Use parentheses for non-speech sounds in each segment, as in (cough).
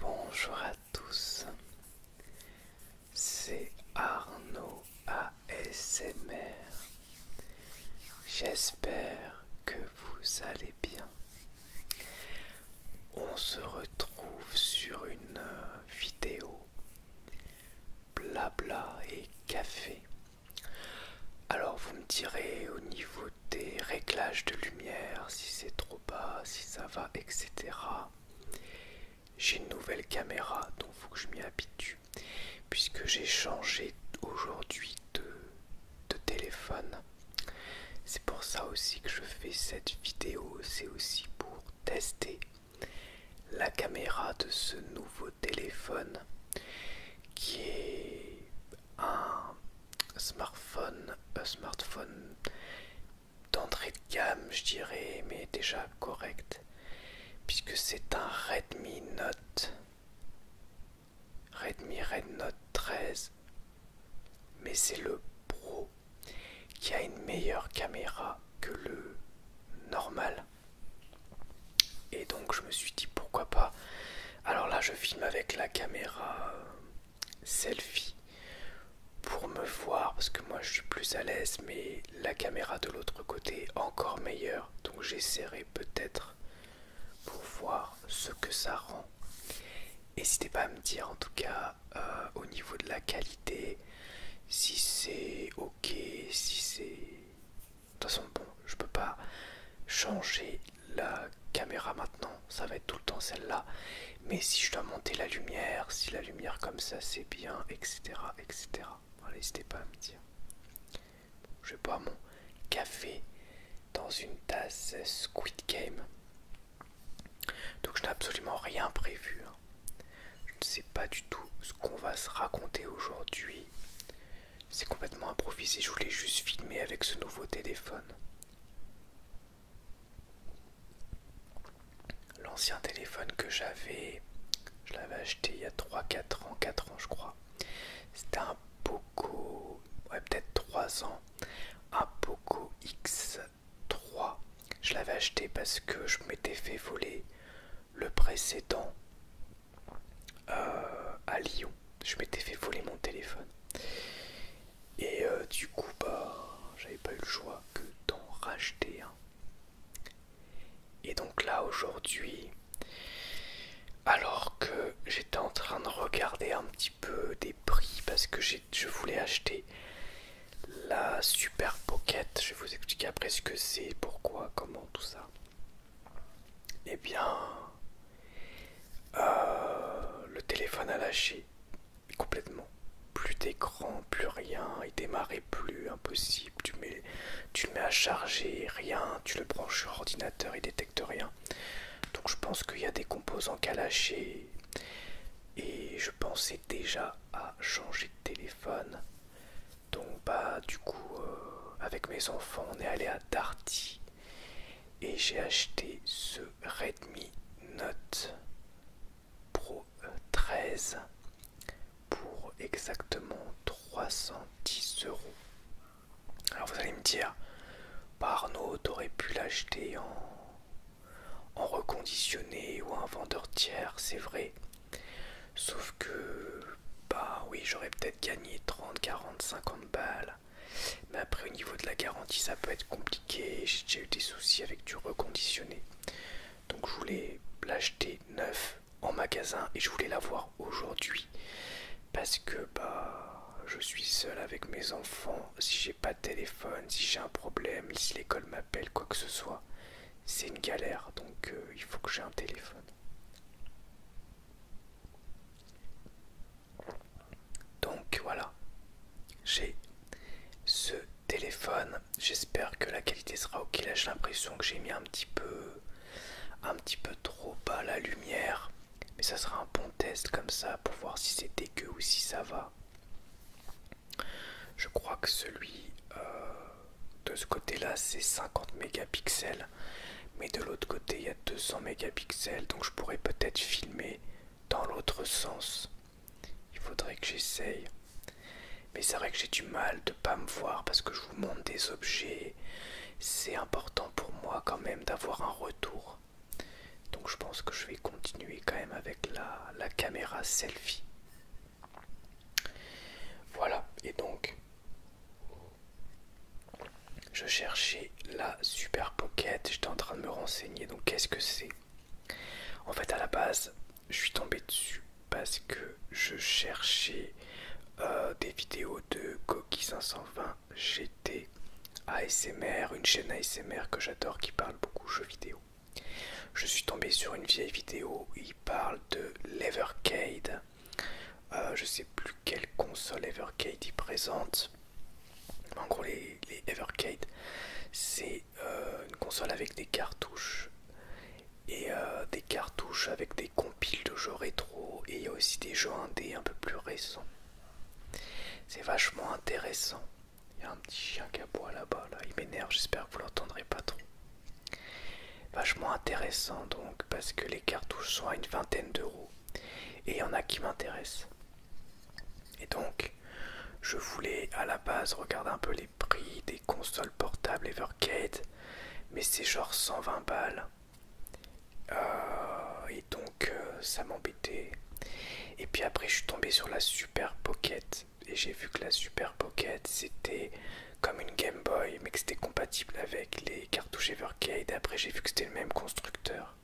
Bonjour à tous, c'est Arnaud ASMR. J'espère que vous allez bien. On se retrouve sur une euh, vidéo blabla et café. Alors vous me direz au niveau des réglages de lumière, si c'est trop bas, si ça va, etc. J'ai une nouvelle caméra, donc faut que je m'y habitue, puisque j'ai changé aujourd'hui de téléphone. C'est pour ça aussi que je fais cette vidéo, c'est aussi pour tester la caméra de ce nouveau téléphone qui est un smartphone, un smartphone d'entrée de gamme je dirais mais déjà correct puisque c'est un Redmi Note Redmi Red Note 13 mais c'est le Pro qui a une meilleure caméra que le normal. Et donc je me suis dit pourquoi pas. Alors là je filme avec la caméra euh, selfie pour me voir parce que moi je suis plus à l'aise mais la caméra de l'autre côté encore meilleure. Donc j'essaierai peut-être pour voir ce que ça rend. N'hésitez pas à me dire en tout cas euh, au niveau de la qualité, si c'est ok, si c'est... De toute façon, bon, je peux pas changer la caméra maintenant, ça va être tout le temps celle-là. Mais si je dois monter la lumière, si la lumière comme ça c'est bien, etc. etc. n'hésitez pas à me dire. Je vais boire mon café dans une tasse Squid Game. Donc je n'ai absolument rien prévu. Je ne sais pas du tout ce qu'on va se raconter aujourd'hui. C'est complètement improvisé, je voulais juste filmer avec ce nouveau téléphone. L'ancien téléphone que j'avais, je l'avais acheté il y a 3-4 ans, 4 ans je crois. C'était un Poco, ouais peut-être 3 ans, un Poco X 3. Je l'avais acheté parce que je m'étais fait voler le précédent euh, à Lyon. Je m'étais fait voler mon téléphone. Et euh, du coup, bah, j'avais pas eu le choix que d'en racheter un. Et donc là, aujourd'hui, alors que j'étais en train de regarder un petit peu des prix parce que je voulais acheter la Super Pocket. Je vais vous expliquer après ce que c'est, pourquoi, comment, tout ça. Eh bien, euh, le téléphone a lâché complètement. Plus d'écran, plus rien, il démarrait plus, impossible. Tu, tu le mets à charger, rien, tu le branches sur ordinateur, il détecte rien. Donc je pense qu'il y a des composants qu'à lâcher. Et je pensais déjà à changer de téléphone. Donc bah du coup euh, avec mes enfants on est allé à Darty et j'ai acheté ce Redmi Note Pro 13 pour exactement 310 euros. Alors vous allez me dire, bah Arnaud aurait pu l'acheter en en reconditionné ou un vendeur tiers, c'est vrai. Sauf que, bah oui, j'aurais peut-être gagné 30, 40, 50 balles. Mais après, au niveau de la garantie, ça peut être compliqué. J'ai eu des soucis avec du reconditionné. Donc, je voulais l'acheter neuf en magasin et je voulais l'avoir aujourd'hui. Parce que, bah, je suis seul avec mes enfants. Si j'ai pas de téléphone, si j'ai un problème, si l'école m'appelle, quoi que ce soit, c'est une galère, donc euh, il faut que j'ai un téléphone. Donc voilà, j'ai ce téléphone. J'espère que la qualité sera ok. Là, j'ai l'impression que j'ai mis un petit peu, un petit peu trop bas la lumière, mais ça sera un bon test comme ça pour voir si c'est dégueu ou si ça va. Je crois que celui euh, de ce côté-là, c'est 50 mégapixels, mais de l'autre côté, il y a 200 mégapixels, donc je pourrais peut-être filmer dans l'autre sens. Il faudrait que j'essaye. Mais c'est vrai que j'ai du mal de ne pas me voir parce que je vous montre des objets. C'est important pour moi quand même d'avoir un retour. Donc je pense que je vais continuer quand même avec la, la caméra selfie. Voilà, et donc je cherchais la Super Pocket, j'étais en train de me renseigner, donc qu'est-ce que c'est En fait à la base, je suis tombé dessus parce que je cherchais euh, des vidéos de Coqui 520 GT ASMR, une chaîne ASMR que j'adore qui parle beaucoup de jeux vidéo. Je suis tombé sur une vieille vidéo où il parle de l'Evercade. je euh, je sais plus quelle console Evercade il présente. En gros, les, Evercade, c'est euh, une console avec des cartouches et euh, des cartouches avec des compiles de jeux rétro et il y a aussi des jeux indés un peu plus récents. C'est vachement intéressant. Il y a un petit chien qui aboie là-bas, là. il m'énerve, j'espère que vous l'entendrez pas trop. Vachement intéressant donc, parce que les cartouches sont à une vingtaine d'euros. Et il y en a qui m'intéressent. Et donc, je voulais à la base regarder un peu les prix des consoles portables Evercade, mais c'est genre 120 balles. Euh, et donc, euh, ça m'embêtait. Et puis après, je suis tombé sur la Super Pocket et j'ai vu que la Super Pocket c'était comme une Game Boy mais que c'était compatible avec les cartouches Evercade. Après j'ai vu que c'était le même constructeur.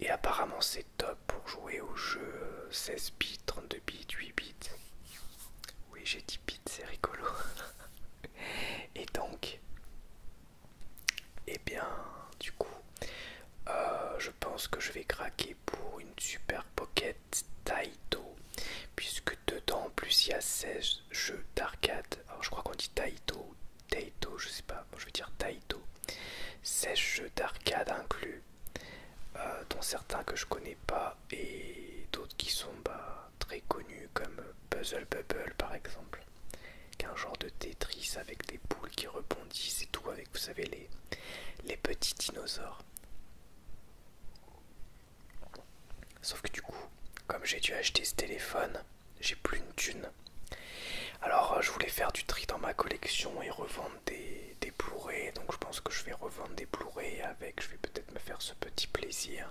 Et apparemment c'est top pour jouer aux jeux 16 bits, 32 bits, 8 bits. Oui j'ai 10 bits, c'est rigolo. (laughs) et donc, et eh bien du coup, euh, je pense que je vais craquer pour une super pocket Taito, puisque dedans en plus il y a 16 jeux d'arcade. Alors je crois qu'on dit Taito, Taito, je sais pas, je veux dire Taito. 16 jeux d'arcade inclus, euh, dont certains que je connais pas et d'autres qui sont bah, très connus comme Puzzle Bubble par exemple. un genre de Tetris avec des boules qui rebondissent et tout avec vous savez les, les petits dinosaures. Sauf que du coup, comme j'ai dû acheter ce téléphone, j'ai plus une thune. Alors euh, je voulais faire du tri dans ma collection et revendre des, blu Donc je pense que je vais revendre des blu avec. Je vais peut-être me faire ce petit plaisir.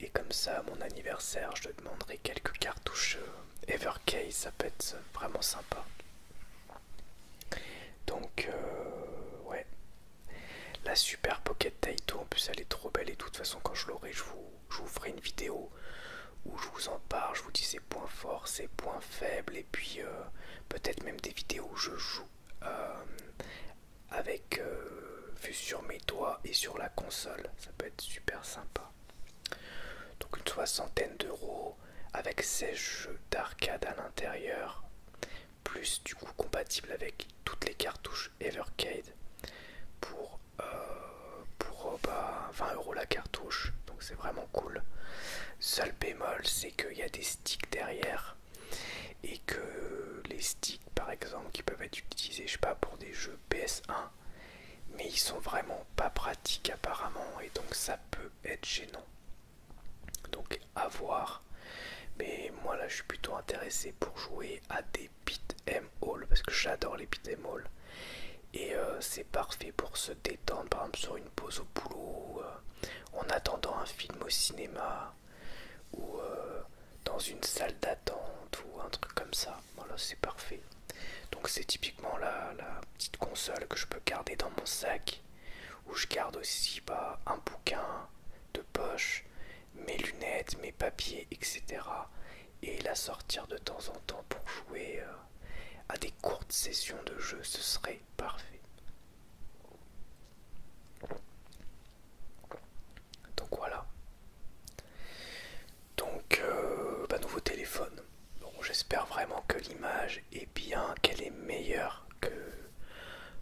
Et comme ça, mon anniversaire, je demanderai quelques cartouches euh, Evercase. Ça peut être vraiment sympa. Donc, euh, ouais. La super Pocket Taito, en plus elle est trop belle et De toute façon, quand je l'aurai, je vous, ferai une vidéo où je vous en parle. Je vous dis ses points forts, ses points faibles. Et puis, euh, peut-être même des vidéos où je joue euh, avec vu sur mes doigts et sur la console. Ça peut être super sympa. Donc, une soixantaine d'euros avec ses jeux d'arcade à l'intérieur, plus du coup compatible avec toutes les cartouches Evercade pour, 20€ euh, pour 20 euh, bah, euros la cartouche, donc c'est vraiment cool. Seul bémol, c'est qu'il y a des sticks derrière et que les sticks par exemple qui peuvent être utilisés, je sais pas, pour des jeux PS1 mais ils sont vraiment pas pratiques apparemment et donc ça peut être gênant donc à voir. Mais moi là je suis plutôt intéressé pour jouer à des beat'em all parce que j'adore les beat'em all. Et euh, c'est parfait pour se détendre, par exemple sur une pause au boulot, euh, en attendant un film au cinéma, ou euh, dans une salle d'attente, ou un truc comme ça. Voilà, c'est parfait. Donc c'est typiquement la petite console que je peux garder dans mon sac où je garde aussi bah, un bouquin de poche, mes lunettes, mes papiers, etc. Et la sortir de temps en temps pour jouer euh, à des courtes sessions de jeu, ce serait parfait. Donc voilà. Donc, euh, bah, nouveau téléphone. Bon, j'espère vraiment que l'image est bien, qu'elle est meilleure que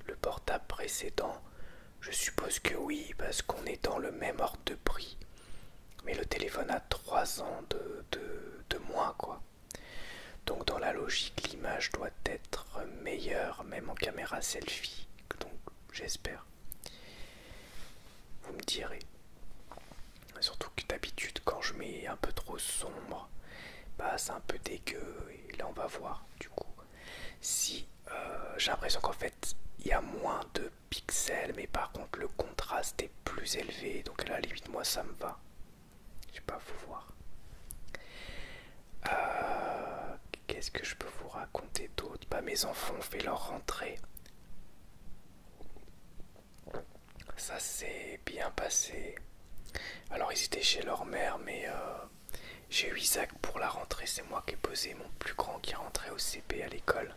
le portable précédent. Je suppose que oui, parce qu'on est dans le même ordre de prix. Mais le téléphone a 3 ans de, de, de moins, quoi. Donc dans la logique, l'image doit être meilleure, même en caméra selfie. Donc j'espère. Vous me direz. Surtout que d'habitude, quand je mets un peu trop sombre, bah c'est un peu dégueu. Et là, on va voir du coup si euh, j'ai l'impression qu'en fait, il y a moins de pixels, mais par contre, le contraste est plus élevé. Donc là, à la limite, ça me va. Je vais pas, vous voir. Euh, qu'est-ce que je peux vous raconter d'autre Bah, mes enfants ont fait leur rentrée. Ça s'est bien passé. Alors ils étaient chez leur mère, mais euh, j'ai eu Isaac pour la rentrée. C'est moi qui ai posé mon plus grand qui rentrait au CP à l'école.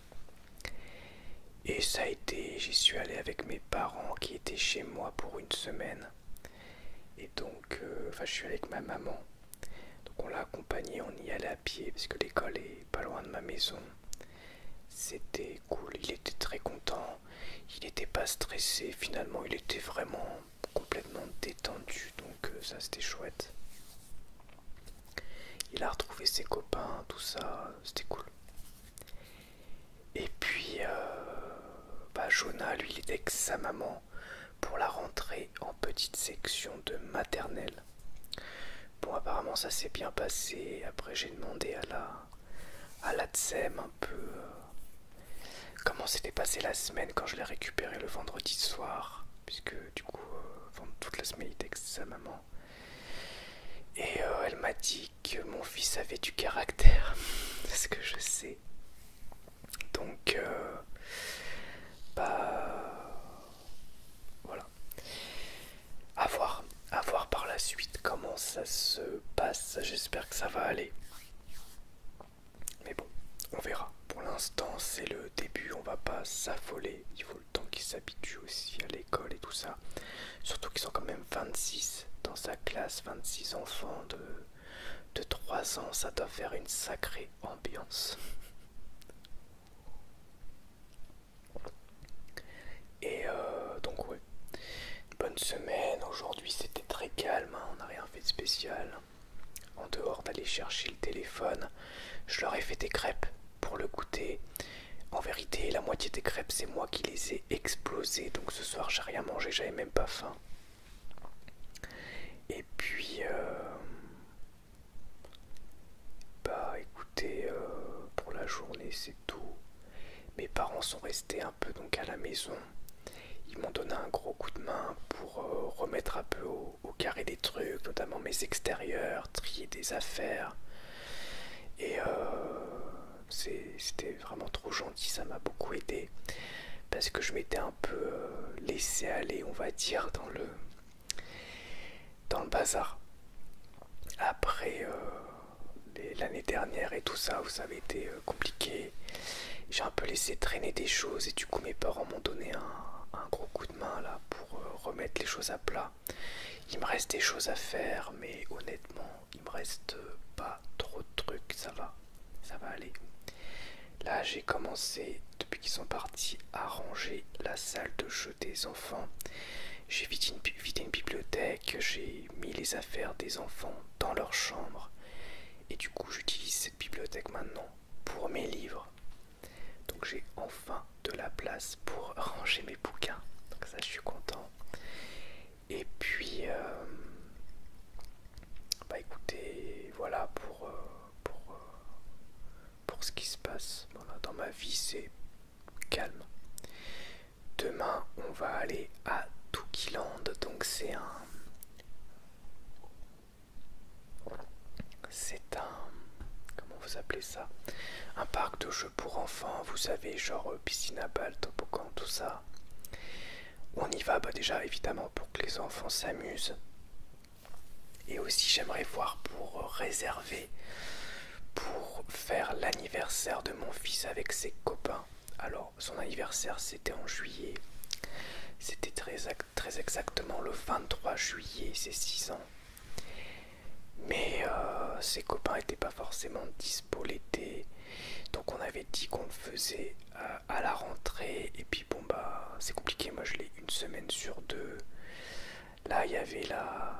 Et ça a été, j'y suis allé avec mes parents qui étaient chez moi pour une semaine. Et donc, euh, enfin, je suis allé avec ma maman. Donc on l'a accompagné, on y allait à pied parce que l'école est pas loin de ma maison. C'était cool, il était très content, il était pas stressé, finalement il était vraiment complètement détendu, donc euh, ça c'était chouette. Il a retrouvé ses copains, tout ça, c'était cool. Et puis, euh, bah, Jonah, lui, il était avec sa maman pour la rentrée en petite section de maternelle. Bon, apparemment, ça s'est bien passé. Après, j'ai demandé à la, à, la un peu euh, comment s'était passée la semaine quand je l'ai récupéré le vendredi soir, puisque du coup, euh, toute la semaine il texte sa maman. Et euh, elle m'a dit que mon fils avait du caractère, (laughs) ce que je sais. Donc, bah, voilà. A voir, à voir par la suite comment ça se passe. J'espère que ça va aller. Mais bon, on verra. Pour l'instant, c'est le début, on va pas s'affoler. Il faut le temps qu'ils s'habituent aussi à l'école et tout ça. Surtout qu'ils sont quand même 26 dans sa classe, 26 enfants de 3 ans. Ça doit faire une sacrée ambiance. Et euh, donc ouais, bonne semaine, aujourd'hui c'était très calme, hein. on n'a rien fait de spécial. En dehors d'aller chercher le téléphone, je leur ai fait des crêpes pour le goûter. En vérité, la moitié des crêpes, c'est moi qui les ai explosées. Donc ce soir, j'ai rien mangé, j'avais même pas faim. Et puis, euh, bah écoutez, euh, pour la journée, c'est tout. Mes parents sont restés un peu donc à la maison. Ils m'ont donné un gros coup de main pour euh, remettre un peu au, carré des trucs, notamment mes extérieurs, trier des affaires. Et euh, c'était vraiment trop gentil, ça m'a beaucoup aidé. Parce que je m'étais un peu euh, laissé aller, on va dire, dans le, dans le bazar. Après, l'année dernière et tout ça, ça savez, été euh, compliqué. J'ai un peu laissé traîner des choses et du coup mes parents m'ont donné un, gros coup de main là pour euh, remettre les choses à plat. Il me reste des choses à faire, mais honnêtement, il me reste euh, pas trop de trucs, ça va, ça va aller. Là, j'ai commencé depuis qu'ils sont partis à ranger la salle de jeu des enfants. J'ai vidé une, bibliothèque, j'ai mis les affaires des enfants dans leur chambre. Et du coup, j'utilise cette bibliothèque maintenant pour mes livres. Donc j'ai enfin de la place pour (laughs) ranger mes bouquins. Donc ça, je suis content. Et puis, euh, bah écoutez, voilà pour, euh, euh, pour, ce qui se passe. dans ma vie, c'est calme. Demain, on va aller à Tukiland. donc c'est un. C'est un. Comment vous appelez ça Un parc de jeux pour enfants, vous savez, genre euh, piscine à balles, toboggan, tout ça. On y va bah déjà évidemment pour que les enfants s'amusent. Et aussi j'aimerais voir pour euh, réserver pour faire l'anniversaire de mon fils avec ses copains. Alors son anniversaire c'était en juillet. C'était très, exactement le 23 juillet, c'est 6 ans. Mais euh, ses copains n'étaient pas forcément dispo l'été. Donc on avait dit qu'on le faisait euh, à la rentrée. Et puis bon bah c'est compliqué, moi je l'ai une semaine sur deux. Là il y avait la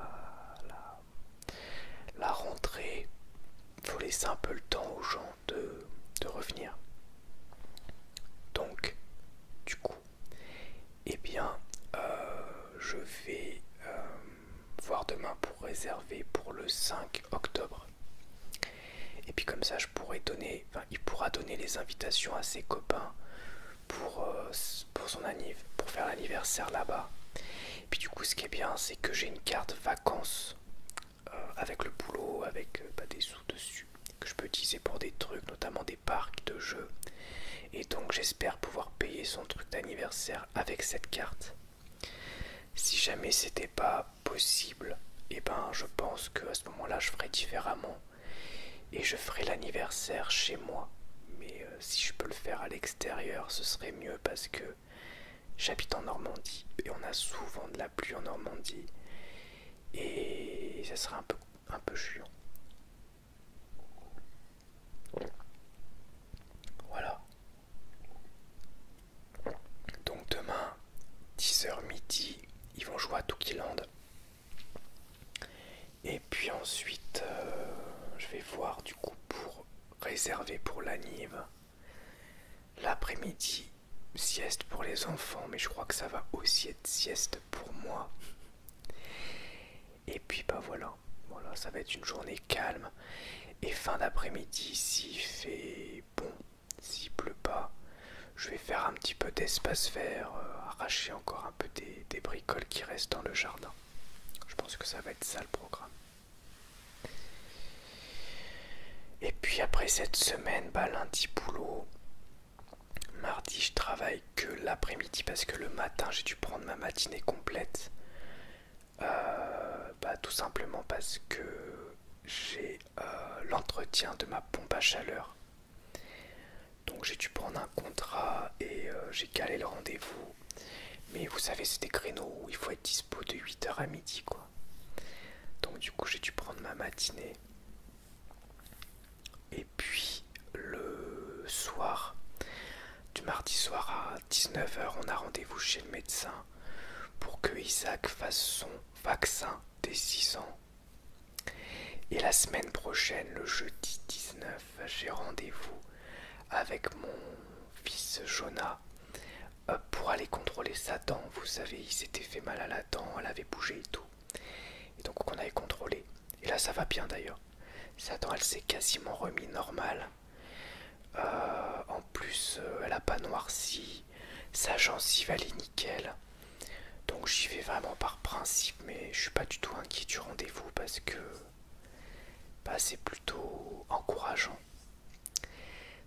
la rentrée, faut laisser un peu le temps aux gens de, revenir. Donc, du coup, eh bien, euh, je vais euh, voir demain pour réserver pour le 5 octobre. Et puis comme ça, je donner, il pourra donner les invitations à ses copains pour, euh, son pour faire l'anniversaire là-bas. Et puis du coup ce qui est bien c'est que j'ai une carte vacances euh, avec le boulot, avec euh, bah, des sous dessus, que je peux utiliser pour des trucs, notamment des parcs de jeux. Et donc j'espère pouvoir payer son truc d'anniversaire avec cette carte. Si jamais c'était pas possible, et eh ben je pense que à ce moment-là je ferai différemment et je ferai l'anniversaire chez moi. Mais euh, si je peux le faire à l'extérieur, ce serait mieux parce que j'habite en Normandie et on a souvent de la pluie en Normandie et ça serait un peu, un peu chiant. Voilà. Donc demain, 10h midi, ils vont jouer à Tookyland Et puis ensuite, euh, je vais voir du coup pour réservé pour la Nive. L'après-midi, sieste pour les enfants, mais je crois que ça va aussi être sieste pour moi. Et puis bah voilà, voilà, ça va être une journée calme. Et fin d'après-midi, s'il fait bon, s'il pleut pas, je vais faire un petit peu d'espace vert, euh, arracher encore un peu des bricoles qui restent dans le jardin. Je pense que ça va être ça le programme. Et puis après cette semaine, bah, lundi boulot, mardi je travaille que l'après-midi parce que le matin j'ai dû prendre ma matinée complète. Euh, bah, tout simplement parce que j'ai euh, l'entretien de ma pompe à chaleur. Donc j'ai dû prendre un contrat et euh, j'ai calé le rendez-vous mais vous savez, c'est des créneaux où il faut être dispo de 8h à midi, quoi. Donc du coup, j'ai dû prendre ma matinée. Et puis le soir, du mardi soir à 19h, on a rendez-vous chez le médecin pour que Isaac fasse son vaccin des 6 ans. Et la semaine prochaine, le jeudi 19, j'ai rendez-vous avec mon fils Jonah euh, pour aller contrôler sa dent. Vous savez, il s'était fait mal à la dent, elle avait bougé et tout. donc on avait contrôlé. Et là ça va bien d'ailleurs. Sa dent elle s'est quasiment remis normale. Euh, en plus euh, elle a pas noirci. Sa gencive elle est nickel. Donc j'y vais vraiment par principe mais je suis pas du tout inquiet du rendez-vous parce que bah, c'est plutôt encourageant.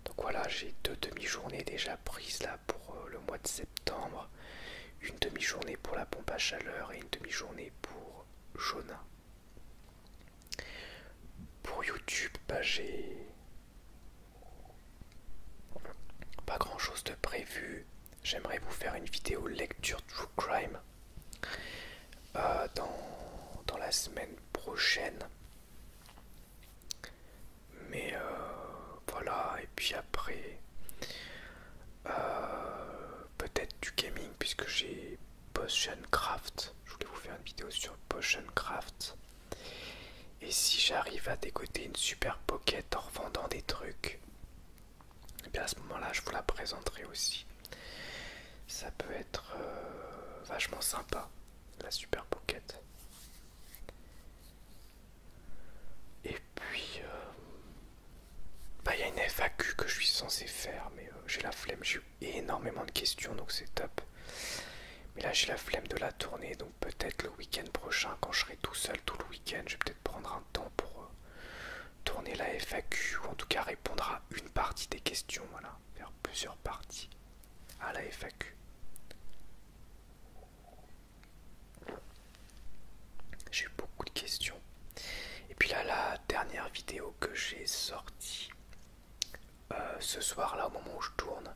Donc voilà, j'ai deux demi-journées déjà prises là pour euh, le mois de septembre. Une demi-journée pour la pompe à chaleur et une demi-journée pour Jonah. Pour YouTube, bah, j'ai pas grand chose de prévu. J'aimerais vous faire une vidéo lecture True Crime euh, dans, la semaine prochaine. Mais euh, voilà, et puis après, euh, peut-être du gaming, puisque j'ai Craft, Je voulais vous faire une vidéo sur Craft Et si j'arrive à décoter une super pocket en revendant des trucs, et eh bien à ce moment-là, je vous la présenterai aussi ça peut être euh, vachement sympa la super pocket et puis euh, bah, il y a une FAQ que je suis censé faire mais euh, j'ai la flemme j'ai eu énormément de questions donc c'est top mais là j'ai la flemme de la tourner, donc peut-être le week-end prochain quand je serai tout seul tout le week-end je vais peut-être prendre un temps pour tourner la FAQ, ou en tout cas répondre à une partie des questions, voilà, faire plusieurs parties à la FAQ. J'ai eu beaucoup de questions. Et puis là, la dernière vidéo que j'ai sortie euh, ce soir-là, au moment où je tourne,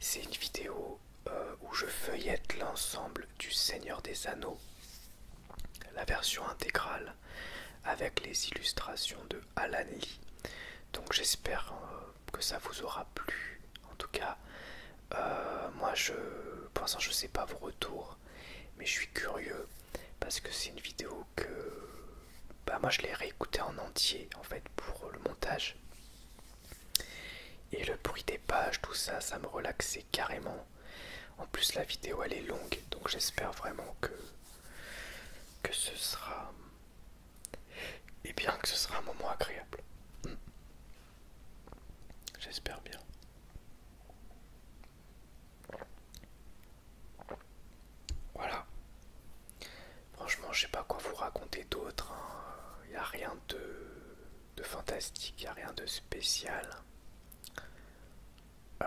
c'est une vidéo euh, où je feuillette l'ensemble du Seigneur des Anneaux la version intégrale avec les illustrations de Alan Lee. Donc j'espère euh, que ça vous aura plu. En tout cas, euh, moi je, pour l'instant je sais pas vos retours, mais je suis curieux parce que c'est une vidéo que, bah, moi je l'ai réécouté en entier en fait pour le montage. Et le bruit des pages, tout ça, ça me relaxait carrément. En plus la vidéo elle est longue donc j'espère vraiment que, ce sera et bien que ce sera un moment agréable. Hmm. J'espère bien. Voilà. Franchement, je sais pas quoi vous raconter d'autre. Il hein. n'y a rien de, de fantastique, il n'y a rien de spécial. Euh,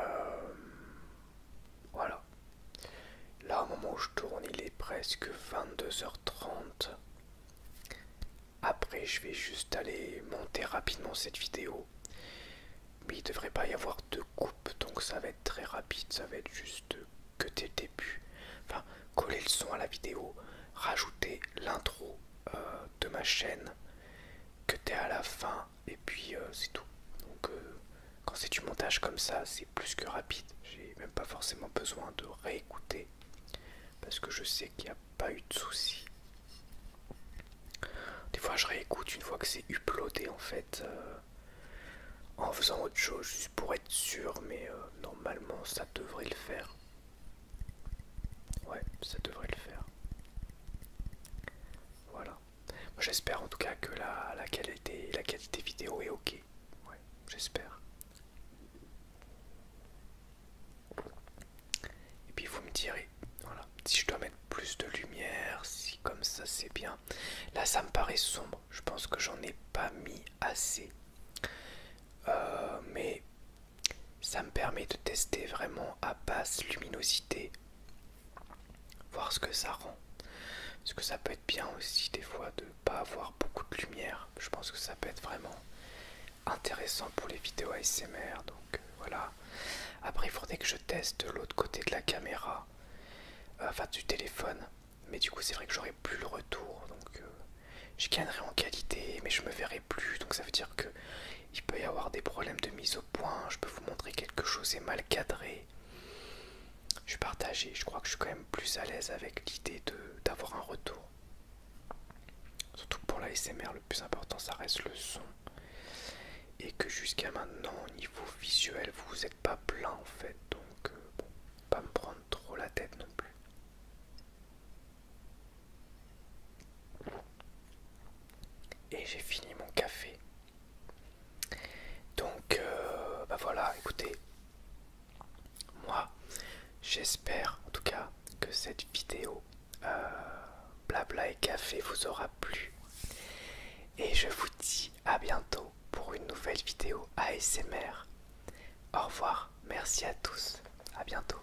voilà. Là, au moment où je tourne, il est presque 22h30. Après, je vais juste aller monter rapidement cette vidéo. Mais il ne devrait pas y avoir de coupe, donc ça va être très rapide. Ça va être juste que t'es le début. Enfin, coller le son à la vidéo, rajouter l'intro euh, de ma chaîne, que tu t'es à la fin, et puis euh, c'est tout. Donc euh, quand c'est du montage comme ça, c'est plus que rapide. J'ai même pas forcément besoin de réécouter parce que je sais qu'il n'y a pas eu de soucis. Des fois, je réécoute une fois que c'est uploadé en fait euh, en faisant autre chose juste pour être sûr, mais normalement ça devrait le faire. Ouais, ça devrait le faire. Voilà. J'espère en tout cas que la, qualité, la qualité vidéo est ok. j'espère. Et puis vous me direz, voilà, si je dois mettre plus de lumière, si comme ça c'est bien. Là ça me paraît sombre, je pense que j'en ai pas mis assez. Euh, mais ça me permet de tester vraiment à basse luminosité voir ce que ça rend. Parce que ça peut être bien aussi des fois de ne pas avoir beaucoup de lumière. Je pense que ça peut être vraiment intéressant pour les vidéos ASMR. Donc euh, voilà. Après il faudrait que je teste l'autre côté de la caméra. Euh, enfin du téléphone. Mais du coup c'est vrai que j'aurai plus le retour. Donc euh, je en qualité mais je me verrai plus. Donc ça veut dire que il peut y avoir des problèmes de mise au point, je peux vous montrer quelque chose est mal cadré. Je suis partagé, je crois que je suis quand même plus à l'aise avec l'idée d'avoir un retour. Surtout pour la SMR, le plus important ça reste le son. Et que jusqu'à maintenant, au niveau visuel, vous n'êtes pas plein en fait. Donc, euh, pas me prendre trop la tête non plus et j'ai fini mon café. Donc, euh, bah voilà, écoutez, moi, j'espère en tout cas que cette vidéo euh, blabla et café vous aura plu. Et je vous dis à bientôt pour une nouvelle vidéo ASMR. Au revoir, merci à tous, à bientôt.